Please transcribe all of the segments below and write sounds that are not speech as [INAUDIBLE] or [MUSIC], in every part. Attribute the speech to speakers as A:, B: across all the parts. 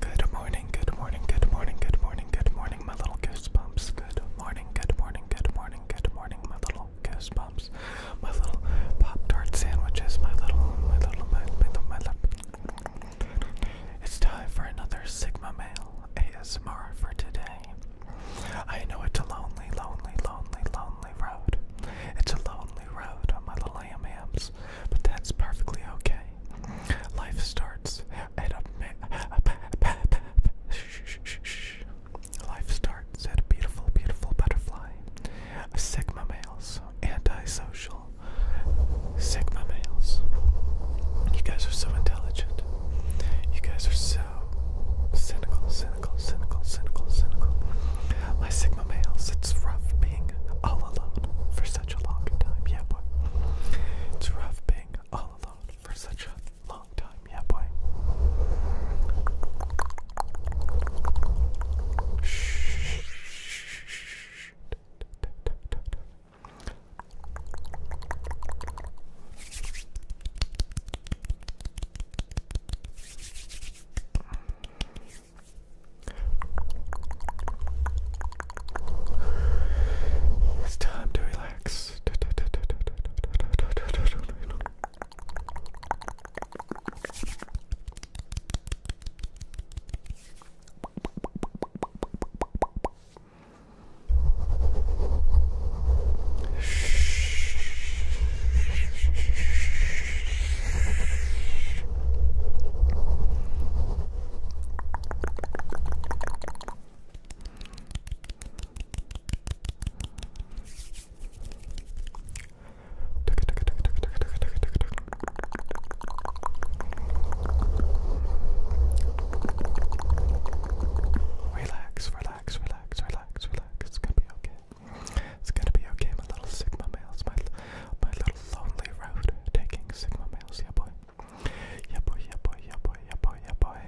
A: Good morning, good morning, good morning, good morning, good morning, my little goosebumps. Good morning, good morning, good morning, good morning, my little goosebumps. My little Pop Tart sandwiches, my little, my little, my, my little, my little. It's time for another Sigma Male ASMR for today. I know it's a lonely, lonely, lonely, lonely road. It's a lonely road on my little AMAMs, but that's perfectly okay. Life starts at a Life starts at a beautiful, beautiful butterfly. Sigma males, antisocial. Sigma males. You guys are so intelligent. You guys are so cynical, cynical, cynical, cynical, cynical. My Sigma males, it's rough being all alone for such a long time, yeah boy. It's rough being all alone for such a long time, yeah boy. Shh. It's time to relax. Relax, relax, relax, relax, relax. It's gonna be okay. It's gonna be okay, my little Sigma males, my my little lonely road taking Sigma males, yeah boy. Yeah boy, yeah boy, yeah boy, yeah boy, yeah boy.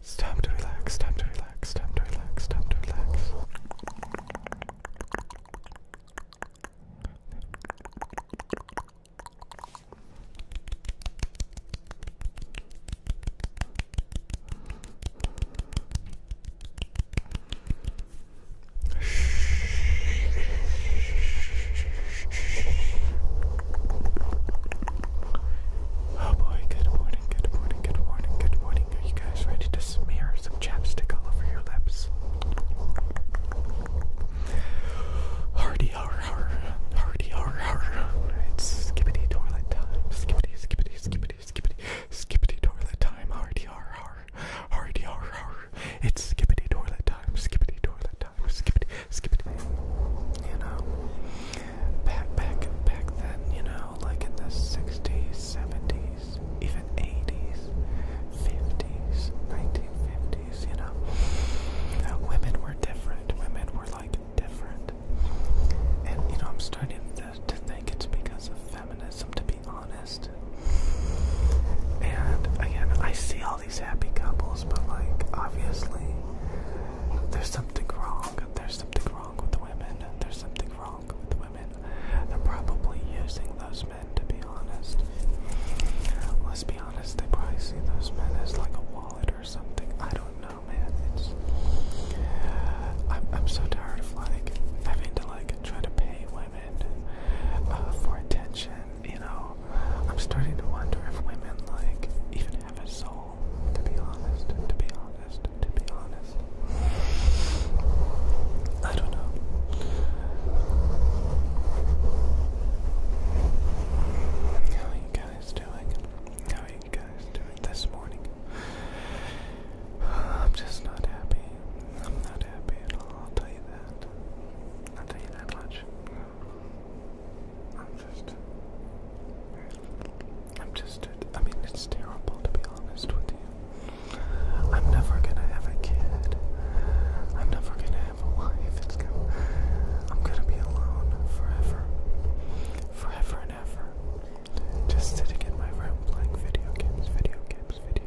A: It's time to relax, time to relax, time to relax, time to relax. Oh boy, good morning, good morning, good morning, good morning. Are you guys ready to smear some chapstick all over your lips? Hardy har har, hardy har har. It's skibbity toilet time. Skibbity, skibbity, skibbity, skibbity, skibbity toilet time. Hardy har har, hardy har har, it's skippity toilet time, skippity toilet time, skippity, skippity. You know, back, back, back then, you know, like in the 60s, 70s, even 80s, 50s, 1950s, you know, uh, women were different. Women were like different. And, you know, I'm starting to, think it's because of feminism, be honest. And again, I see all these happy couples, but like, obviously, there's something wrong. There's something wrong with women. There's something wrong with women. They're probably using those men, to be honest. Let's be honest, they probably see those men as like a wallet or something. I don't know, man. It's. I'm, I'm so tired of like having to like try to pay uh, for attention. You know, I'm starting to wonder if women like even have a soul. To be honest, to be honest, to be honest, I don't know. How are you guys doing? How are you guys doing this morning? [SIGHS] I'm just not happy. I'm not happy at all, I'll tell you that. I'll tell you that much. I'm just. I'm just. I mean, it's terrible to be honest with you. I'm never gonna have a kid. I'm never gonna have a wife. It's gonna, I'm gonna be alone forever. Forever and ever. Just sitting in my room playing video games, video games, video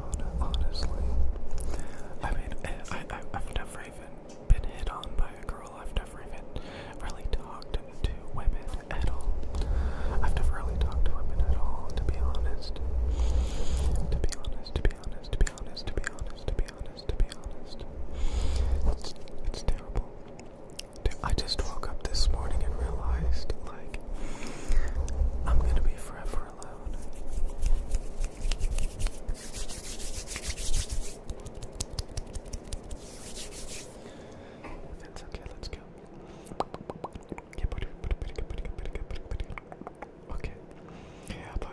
A: on, honestly. I mean, eh, I, I, I've never even been hit on by a girl. I've never even really talked to women at all. I've never really talked to women at all, to be honest. To be honest, to be honest, to be honest, to be honest, to be honest, to be honest. It's, it's terrible. Dude, I just woke up this morning and realized, like, I'm gonna be forever are loud. That's let's go. Okay. Yeah, boy.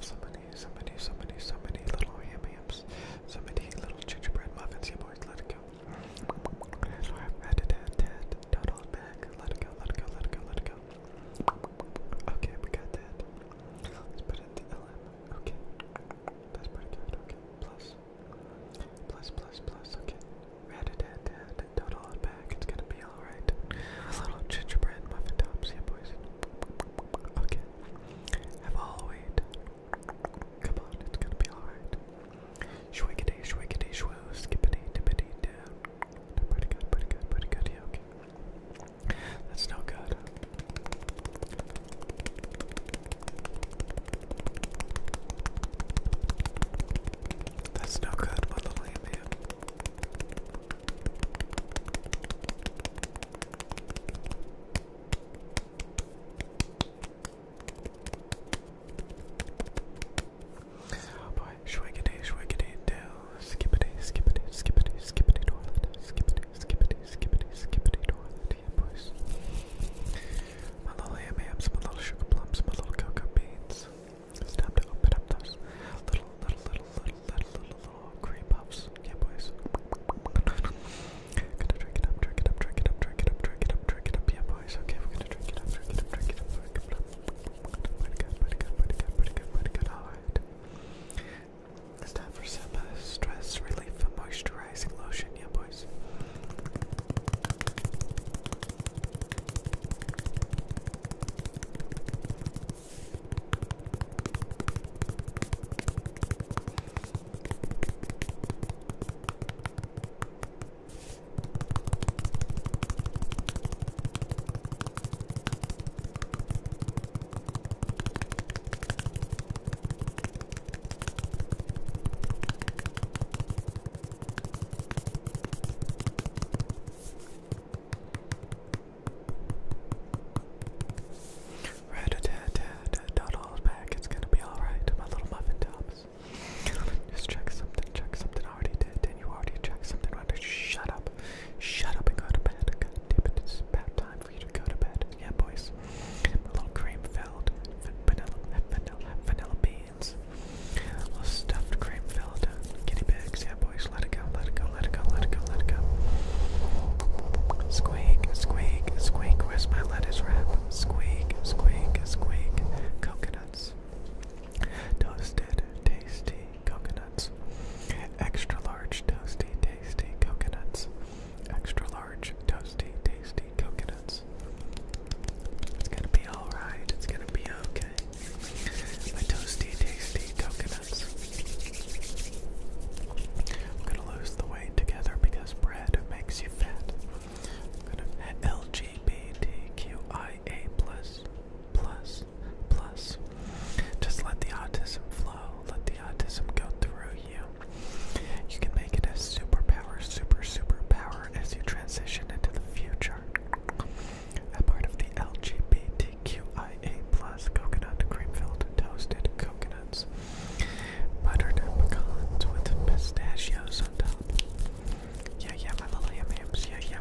A: so many, so many, so many, so many little ham hams. So many little gingerbread muffins. Yeah, boys, let it go. So I've added that, that, Let it go, let it go, let it go, let it go. Okay, we got that. Let's put in the LM. Okay. That's pretty good. Plus. Okay. Rat a tat back. It's gonna be alright. A little gingerbread muffin tops. Yeah, boys. Okay. Have all wait. Come on. It's gonna be alright. Shwiggity, shwiggity, shwoo. Skippity, dippity, down. Pretty good, pretty good, pretty good. okay. That's no good. That's no good, little man. Oh boy, shwiggity, shwiggity, do. Skippity, skippity, skippity, skippity, toilet. Skippity, skippity, skippity, skippity, toilet. Yeah, boys. My little yam yams, my little sugar plums, my little cocoa beans. It's time to open up those little, little, little, little, little, little, little cream puffs. Yeah, boys. Gonna drink it up, drink it up, drink it up, drink it up, drink it up, drink it up. Yeah, boys. Okay, we're gonna drink it up, drink it up, drink it up, drink it up. Pretty good, pretty good, pretty good, pretty good, pretty good. Alright. It's time for some uh, stress relief and moisturizing lotion, yeah, boys. Right a tad, tad, don't hold back. It's gonna be alright, my little muffin tops. Just check something, check something. I already did, and you already checked something. Shut up. Shut up and go to bed. God damn it's about time for you to go to bed. Yeah, boys. A little cream filled vanilla, vanilla, vanilla beans. little stuffed cream filled uh, guinea pigs. Yeah, boys. Let it go. Let it go. Let it go. Let it go. Let it go. Squeak, squeak, squeak. Where's my lettuce wrap? Squeak, squeak, squeak. Coconuts. Toasted tasty coconuts. Extra large toasty tasty coconuts. Extra large toasty tasty coconuts. It's gonna be alright. It's gonna be okay. My toasty tasty coconuts. I'm gonna lose the weight together because bread makes you fat. I'm gonna LGBTQIA plus plus, plus. Just let the autism flow, let the autism go through you. You can make it a superpower, super, superpower as you transition into the future. A part of the LGBTQIA plus coconut cream filled toasted coconuts, buttered pecans with pistachios on top. Yeah, yeah, my little yam yams. Yeah, yeah,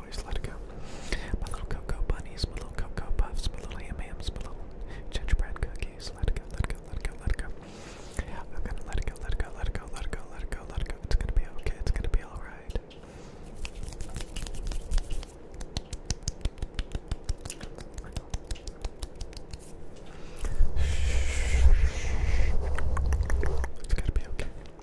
A: always let it go. My little cocoa bunnies, my little cocoa puffs, my little ham hams, my little gingerbread cookies. Let it go, let it go, let it go, let it go. I'm gonna let it go, let it go, let it go, let it go, let it go, let it go. It's gonna be okay, it's gonna be alright. It's gonna be okay.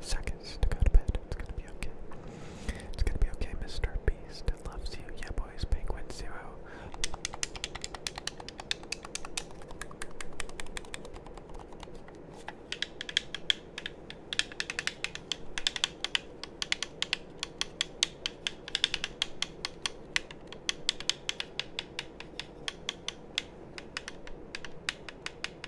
A: seconds to go to bed. It's gonna be okay. It's gonna be okay, Mr. Beast. Loves you. Yeah, boys. Penguin Zero.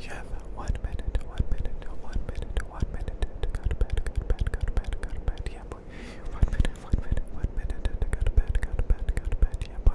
A: You have one minute, one minute, one minute, one minute to go to bed, go to bed, go yeah boy. One minute, one minute, one minute to go to bed, go to yeah boy.